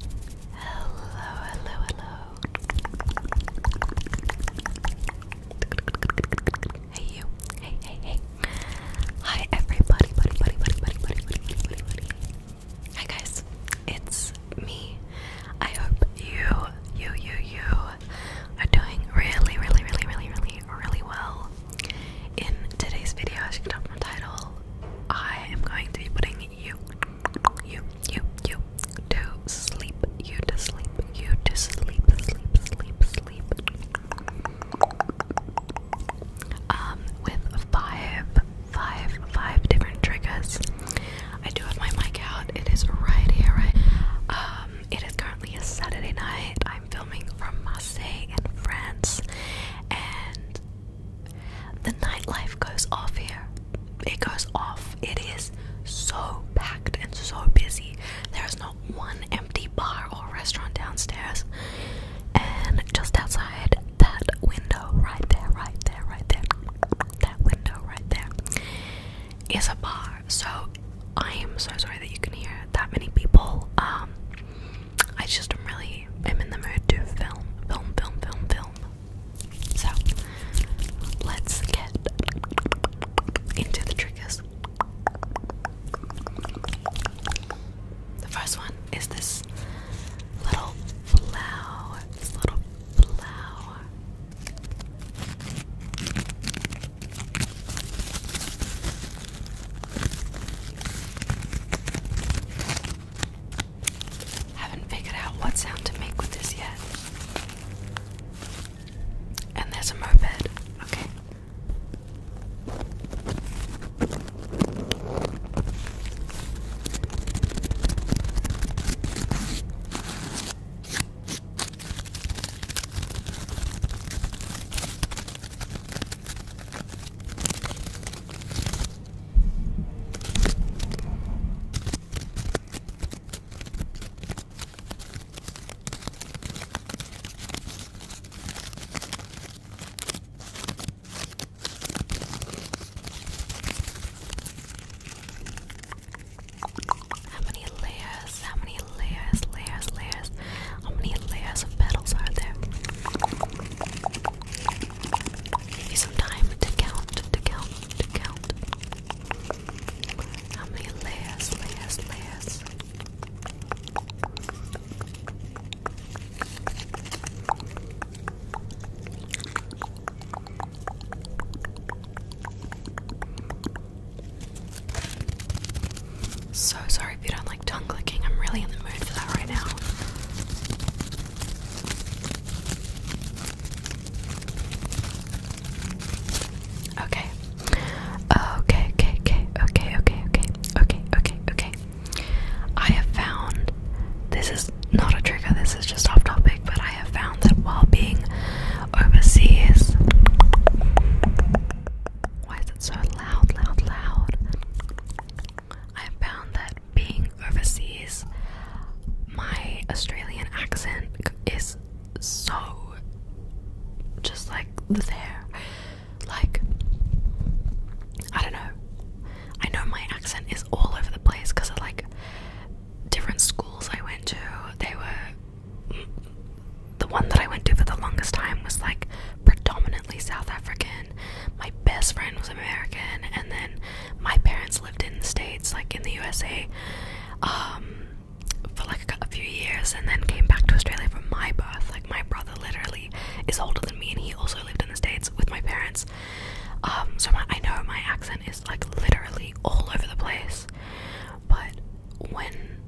Hello, hello, hello. Hey you. Hey, hey, hey. Hi everybody, buddy, buddy, buddy, buddy, buddy, buddy, buddy, buddy, buddy. Hi guys, it's me. I hope you, you, you, you are doing really, really, really, really, really, really well. In today's video, as you can tell from the title, I am going to be putting you, you, you, you to sleep, you to sleep, you to sleep, sleep, sleep, sleep. Um, with five, five, five different triggers. I do have my mic out. It is right here, right? Um, it is currently a Saturday night. I'm filming from Marseille in France, and the nightlife goes off here. It goes off. It is so packed and so busy. There is not one empty bar or restaurant downstairs. And just outside that window, right there, right there, right there, that window right there, is a bar. So I am so sorry that you can hear that many people. Um, I just really am in the mood to film, film, film, film, film. So let's get into the triggers. The first one is this little flower. This little flower. Haven't figured out what sound to make with this yet. And there's a moped. Okay. How many layers? How many layers? Layers, layers. How many layers of petals are there? Give you some time to count, to count, to count. How many layers, layers, layers? So, so if you don't like tongue clicking. I'm really in the mood for that right now. Okay, okay, okay, okay, okay, okay, okay, okay, okay. I have found this is not a trigger, this is just off topic, but I have found that while being overseas, why is it so loud, loud, loud? I found that being overseas, my Australian accent is so just like there. Like, I don't know. I know my accent is all over the place because of like different schools I went to. They were the one that I went to for the longest time was like predominantly South African my best friend was American, and then my parents lived in the States, like in the USA, um, for like a, few years, and then came back to Australia for my birth. Like my brother literally is older than me, and he also lived in the States with my parents. Um, so I know my accent is like literally all over the place, but when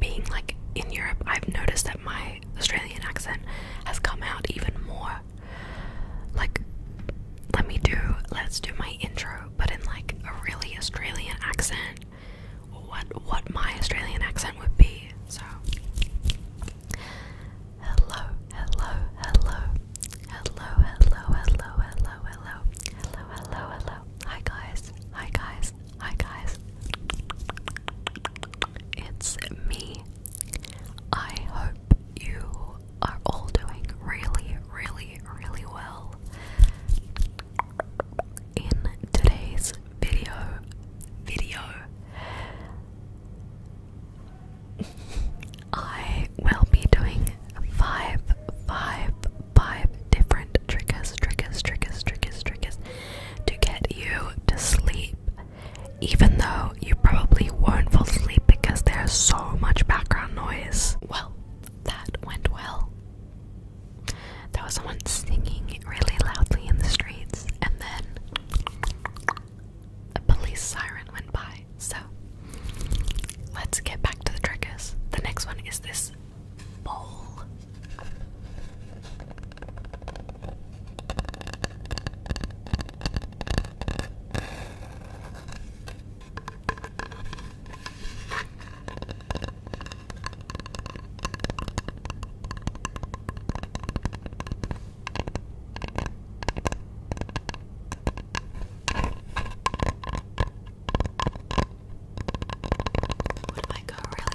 being like in Europe, I've noticed that my Australian accent has come out even more. Like, let me do, let's do my intro, but in like a really Australian accent. What what my Australian accent would be? So, hello, hello, hello, hello, hello, hello, hello, hello, hello, hello. Hi guys, hi guys, Hi guys, it's me. I hope you are all doing really, really, really well. In today's video, video, I will be doing five, five, five different triggers, triggers, triggers, triggers, triggers to get you to sleep, even though you probably won't fall asleep because there's so much background noise. Well, that went well. There was someone singing really loudly in the streets, and then a police siren went by. So, let's get back to the triggers. The next one is this ball. Would my car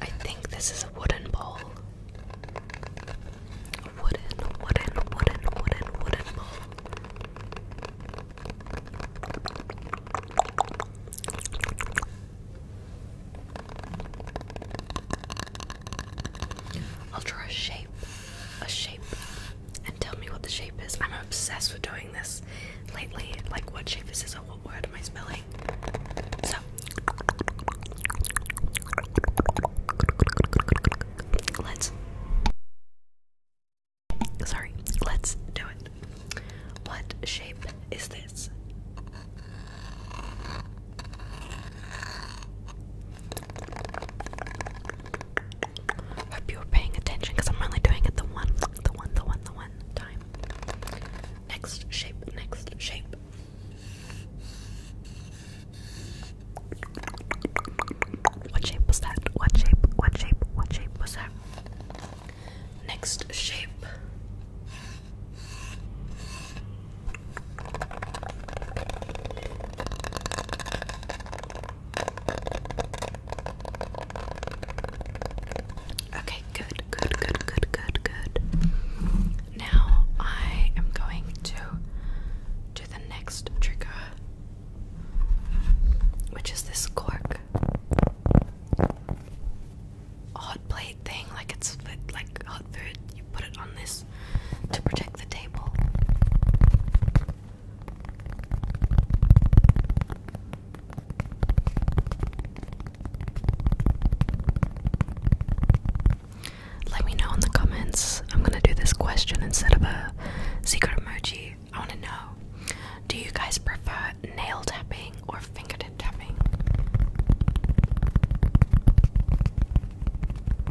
I think this is a wooden bowl. wooden, wooden, wooden, wooden, wooden bowl. I'll draw a shape. A shape and tell me what the shape is. I'm obsessed with doing this lately. Like, what shape is this or what word am I spelling? So, let's. Sorry, let's do it. What shape is this? Hope you were paying attention because I'm only doing it the one, the one, the one, the one time. Next shape, next shape. What shape was that? What shape? What shape? What shape was that? Next shape. Okay, good, good, good, good, good, good. Now I am going to do the next trigger, which is this cork hot plate thing, like it's like hot food. You put it on this to protect the table. Let me know in the comments. I'm gonna do this question instead of a secret emoji. I wanna know do you guys prefer nail tapping or fingertip tapping?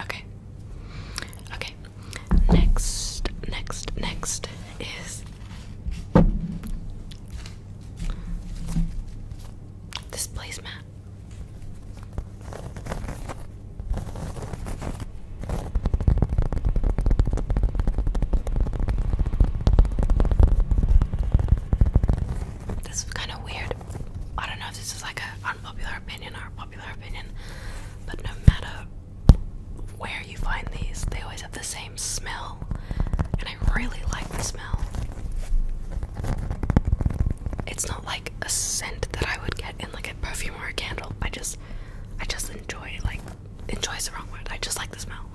Okay. Okay. Next, next, next is this placemat. This is kind of weird. I don't know if this is like an unpopular opinion or a popular opinion, but no matter where you find these, they always have the same smell. I really like the smell. It's not like a scent that I would get in like a perfume or a candle. I just I just enjoy like enjoys the wrong word. I just like the smell.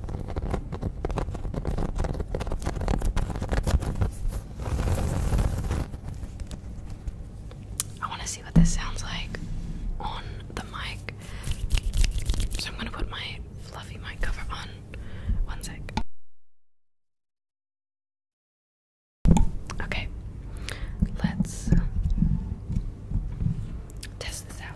I want to see what this sounds like on the mic. So I'm going to put my fluffy mic cover on. One sec. Okay, let's test this out.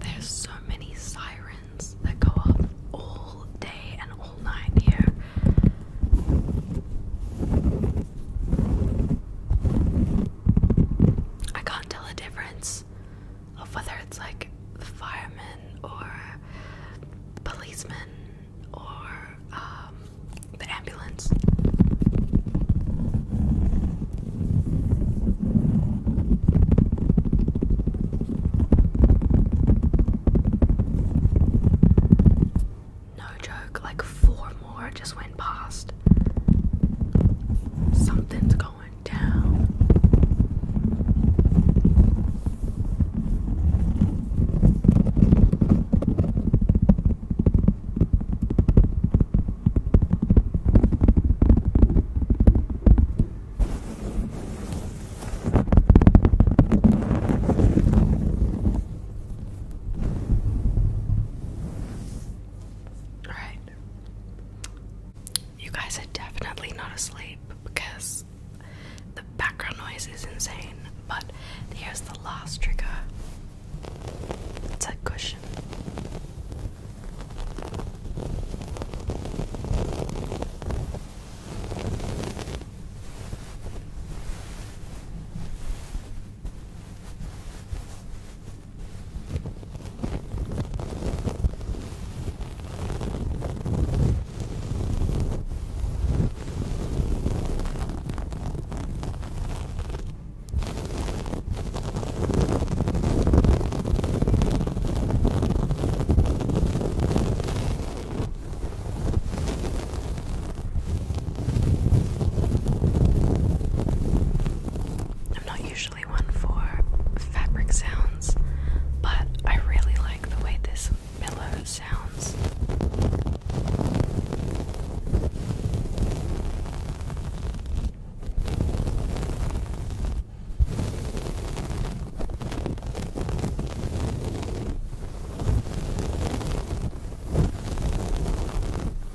There's so many sirens that go up all day and all night here. I can't tell a difference of whether it's like the firemen or policemen or um, the ambulance. No joke, like four more just went past. Something's going down. All right, you guys are definitely not asleep because the background noise is insane. But here's the last trigger it's a cushion. I'm not usually one for fabric sounds, but I really like the way this pillow sounds.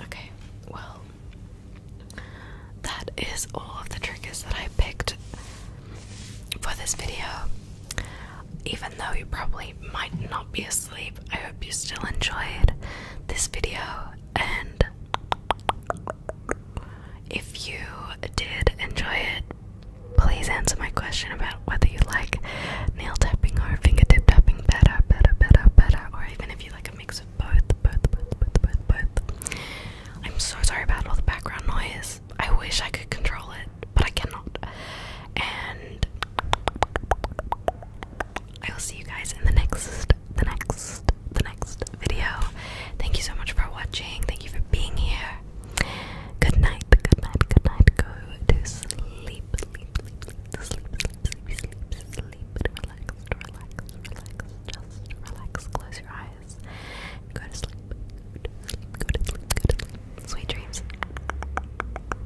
Okay, well, that is all of the triggers that I picked for this video. Even though you probably might not be a I hope you still enjoyed this video. And if you did enjoy it, please answer my question about whether you like nail tapping or fingertip tapping better, better, better, better, or even if you like a mix of both, both, both, both, both, both. I'm so sorry about all the background noise. I wish I could control it, but I cannot. And I will see you guys in the next, the next, the next video. Thank you so much for watching. Thank you for being here. Good night, good night, good night. Go to sleep, sleep, sleep, sleep, sleep, sleep, sleep, sleep. Relax, relax, relax. Just relax. Close your eyes. Go to sleep. Go to sleep. Go sleep. Sweet dreams.